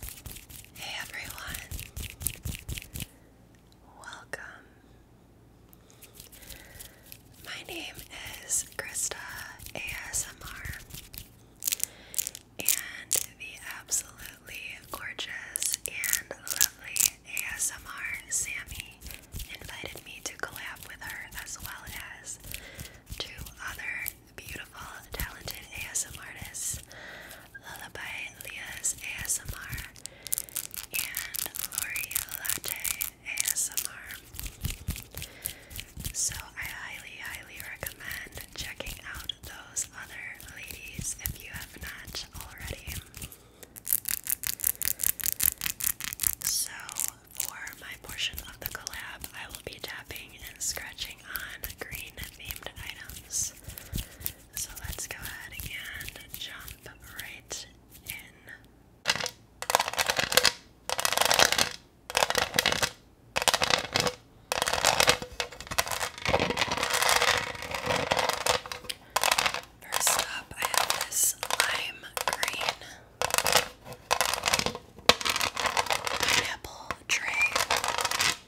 Hey everyone, welcome. My name is Krista ASMR, and the absolutely gorgeous and lovely ASMR Sammy invited me to collab with her as well as two other beautiful, talented ASM artists, Lullaby Leah's ASMR, and Lori Latte ASMR. So I highly, highly recommend checking out those other ladies if you have not already. So for my portion of the collab, I will be tapping and scratching on green themed items. So let's go ahead and jump right in. First up, I have this lime green pineapple tray.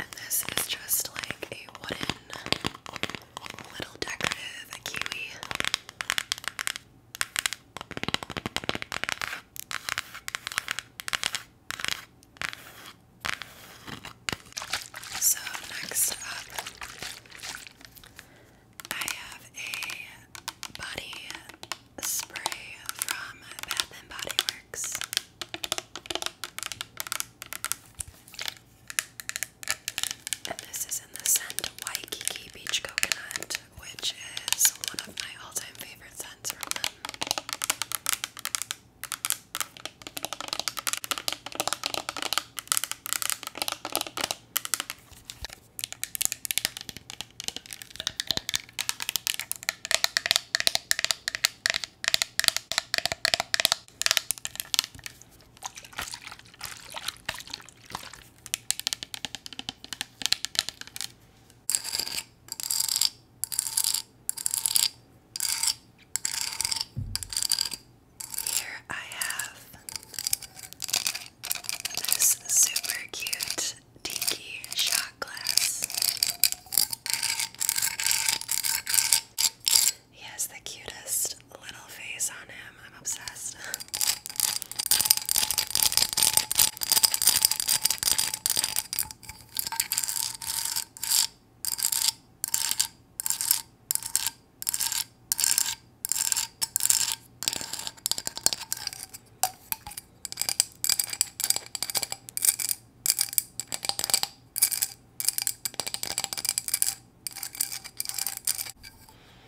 And this is just like a wooden little decorative kiwi. So, next up, I have a body spray from Bath and Body Works. And this is in the scent Waikiki Beach Coconut, which is one of my all time favorite scents here I have this super cute tiki shot glass. He has the cutest little face on him. I'm obsessed.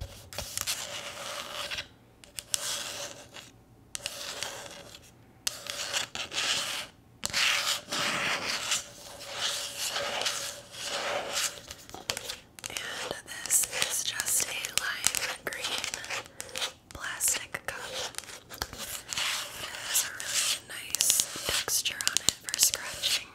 And this is just a lime green plastic cup. It has a really nice texture on it for scratching.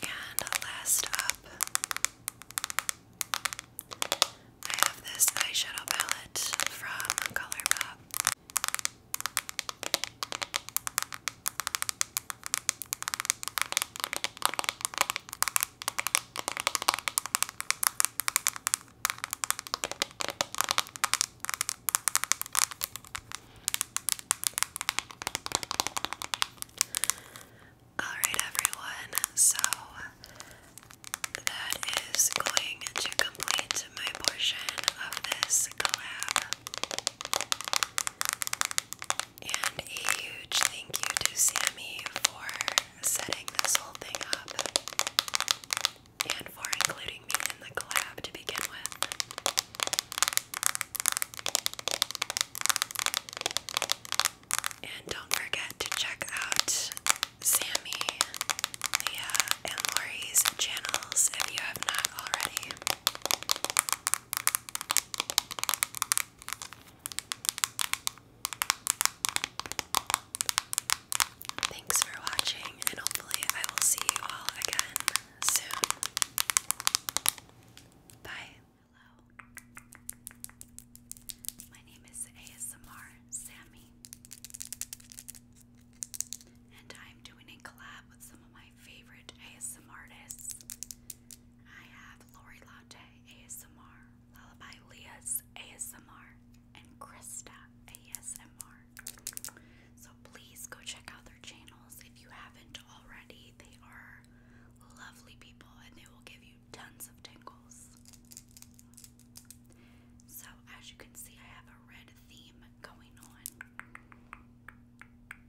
And last up, I have this eyeshadow palette from Colourpop. All right, everyone. So that is going to complete my portion of this collab. And a huge thank you to Sammy for setting this whole thing up and for including me in the collab to begin with. And don't forget to check out Sammy, Leah, and Lori's channels if you have not already. Thanks for watching, and hopefully, I will see you all again soon. Bye. Hello. My name is ASMR Sammy. And I'm doing a collab with some of my favorite ASMR artists. I have Lori Latte ASMR, Lullaby Leah's ASMR, and Krista ASMR. So please go check out their channels if you haven't already. They are lovely people and they will give you tons of tingles. So, as you can see, I have a red theme going on,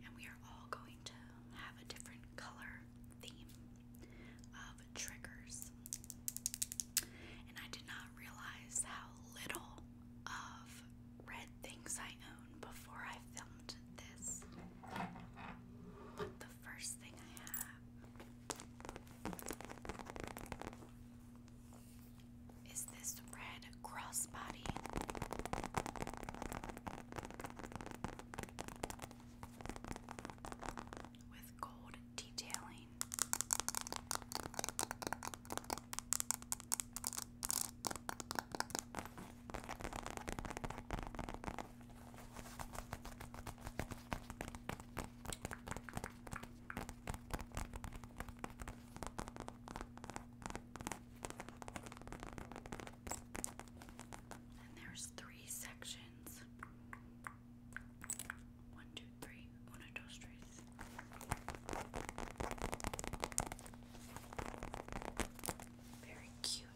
and we are all going to have a different color theme of triggers. And I did not realize how little of red things I own before I filmed this. the first thing I have is this red crossbody. With gold detailing. And there's three sections. One, two, three. Uno, dos, tres. Very cute.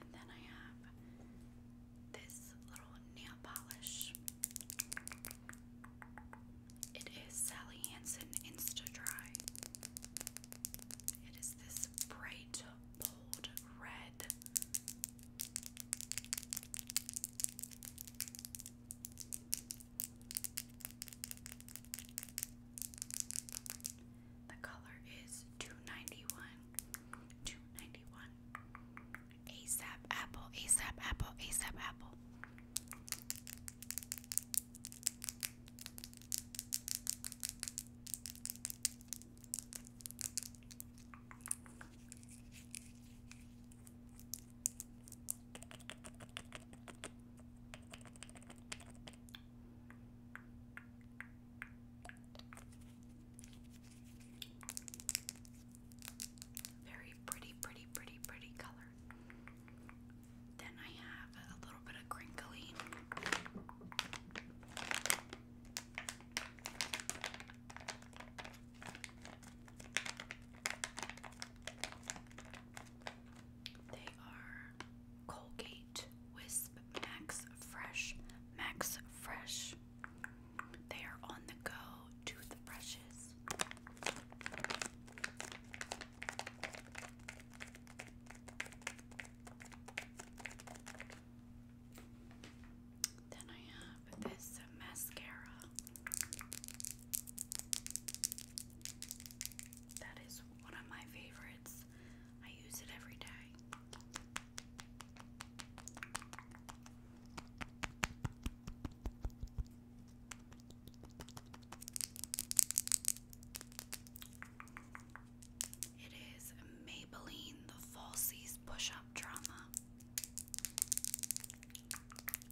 And then I have this little nail polish. It is Sally Hansen Insta Dry. It is this bright, bold red. The color is 291. 291. ASAP Apple, ASAP Apple, ASAP Apple. Very pretty, pretty, pretty, pretty color. Then I have a little bit of crinkly. They are Colgate Wisp Max Fresh, Max Fresh. They are on the go toothbrushes. Then I have this mascara that is one of my favorites. I use it every day. It is Maybelline the Falsies Push Up Drama.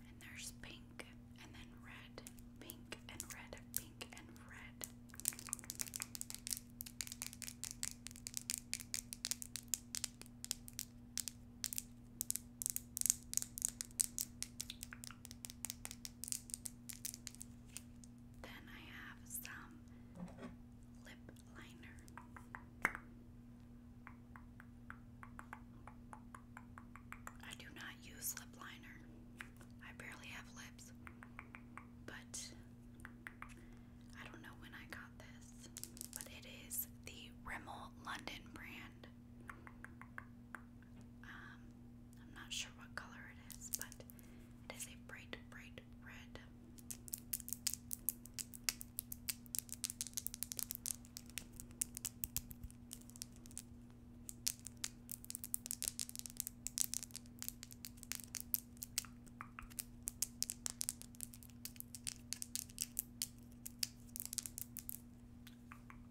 And there's pink and then red, pink and red, pink and red. Then I have some lip liner. I do not use lip liner. I barely have lips. But I don't know when I got got but it is the Rimmel London brand. Um, I'm not sure what color it is, but it is a bright, bright red.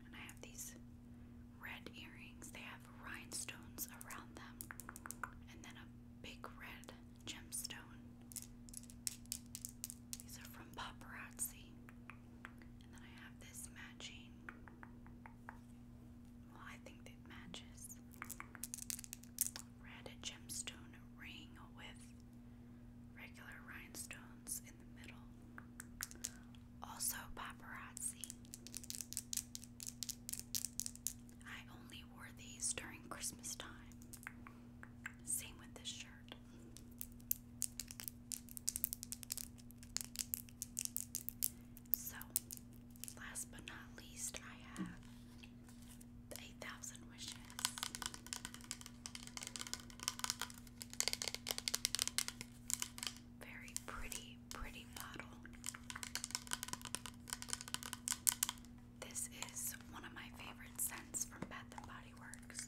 And I have these red earrings. They have rhinestones around them, and then a big red gemstone. These are from Paparazzi. And then I have this matching. Well, I think it matches. Red gemstone ring with Regular rhinestones in the middle. Also paparazzi. I only wore these during Christmas time. Same with this shirt. So, last but not least, I have 8,000 wishes. Very pretty, pretty model. This is one of my favorite scents from Bath and Body Works.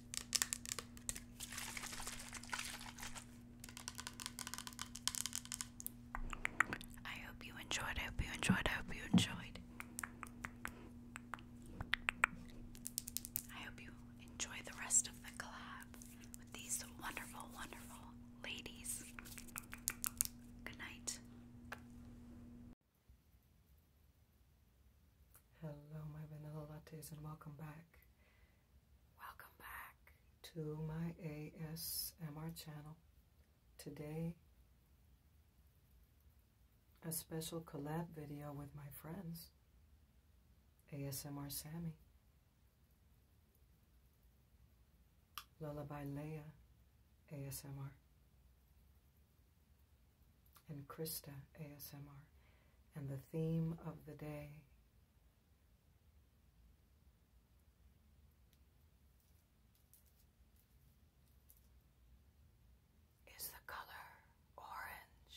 I hope you enjoyed. I hope you enjoyed. I hope you enjoyed. I hope you enjoy the rest of the collab with these wonderful, wonderful ladies. Good night. Hello, my vanilla lattes, and welcome back Welcome back to my ASMR channel. Today, a special collab video with my friends, ASMR Sammy, Lullaby Leah, ASMR, and Krista ASMR. And the theme of the day is the color orange?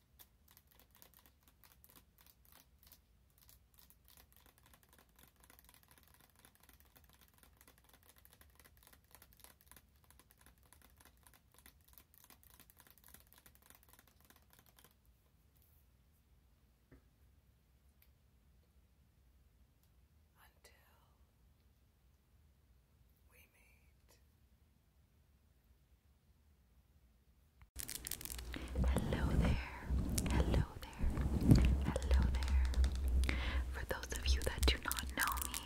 until we meet Hello there. Hello there. Hello there. For those of you that do not know me,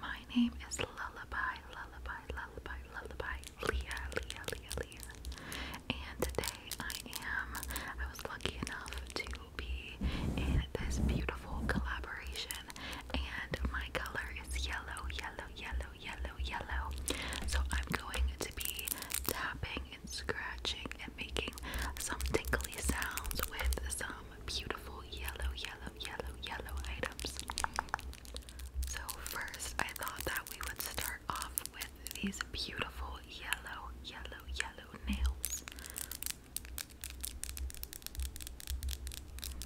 my name is Lullaby, Lullaby, Lullaby, Lullaby, Leah, Leah, Leah, Leah. And today I am, I was lucky enough to be in this beautiful collaboration, and my color is yellow, yellow, yellow, yellow, yellow. So I'm going to be tapping and scratching and making some tinkly sounds with some beautiful yellow, yellow, yellow, yellow items. So first, I thought that we would start off with these beautiful yellow, yellow, yellow nails.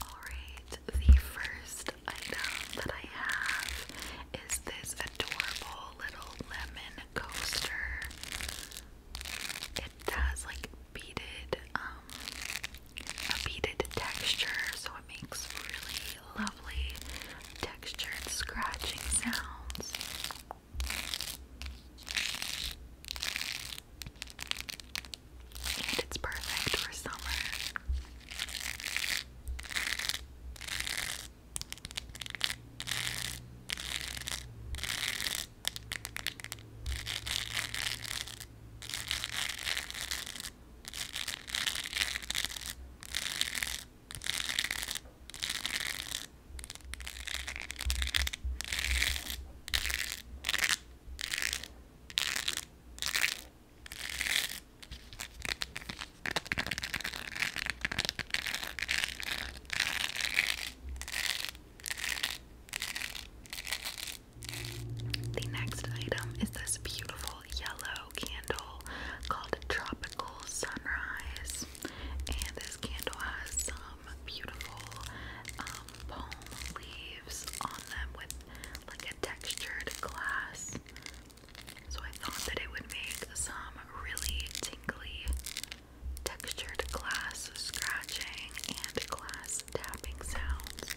Alright, the first item that I have is this adorable little lemon coaster. It has like beaded, um, a beaded texture, so it makes really lovely textured scratching sounds and it's perfect for summer. The next item is this beautiful yellow candle called Tropical Sunrise. And this candle has some beautiful um, palm leaves on them with like a textured glass. So I thought that it would make some really tingly textured glass scratching and glass tapping sounds.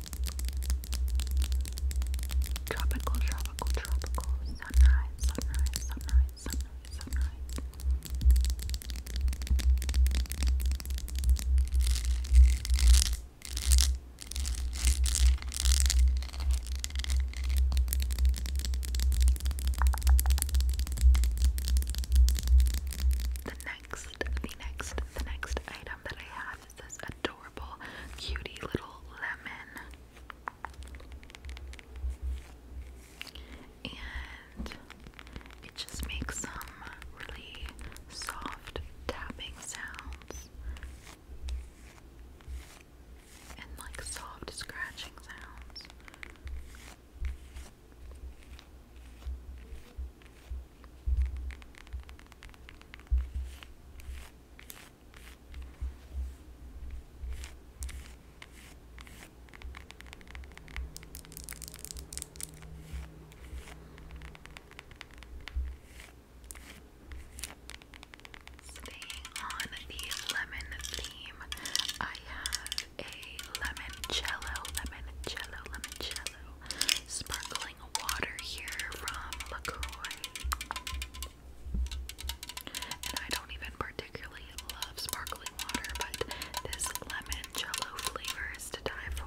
Tropical, tropical, tropical. Sunrise, sunrise, sunrise, sunrise, sunrise. The next, the next, the next item that I have is this adorable, cutie little lemon. And it just makes some really soft tapping sounds and like soft scratching sounds. Staying on the lemon theme, I have a lemon cello, lemon cello, lemon cello sparkling water here from LaCroix. And I don't even particularly love sparkling water, but this lemon jello flavor is to die for.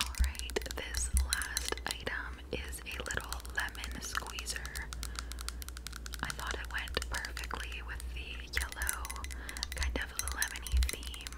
Alright, this last item is a little lemon squeezer. I thought it went perfectly with the yellow, kind of lemony theme.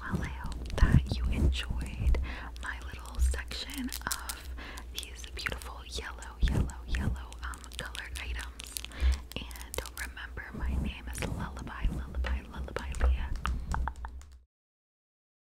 Well, I hope that you enjoyed my little section of these beautiful yellow, yellow, yellow um, colored items. And don't remember, my name is Lullaby, Lullaby, Lullaby Leah.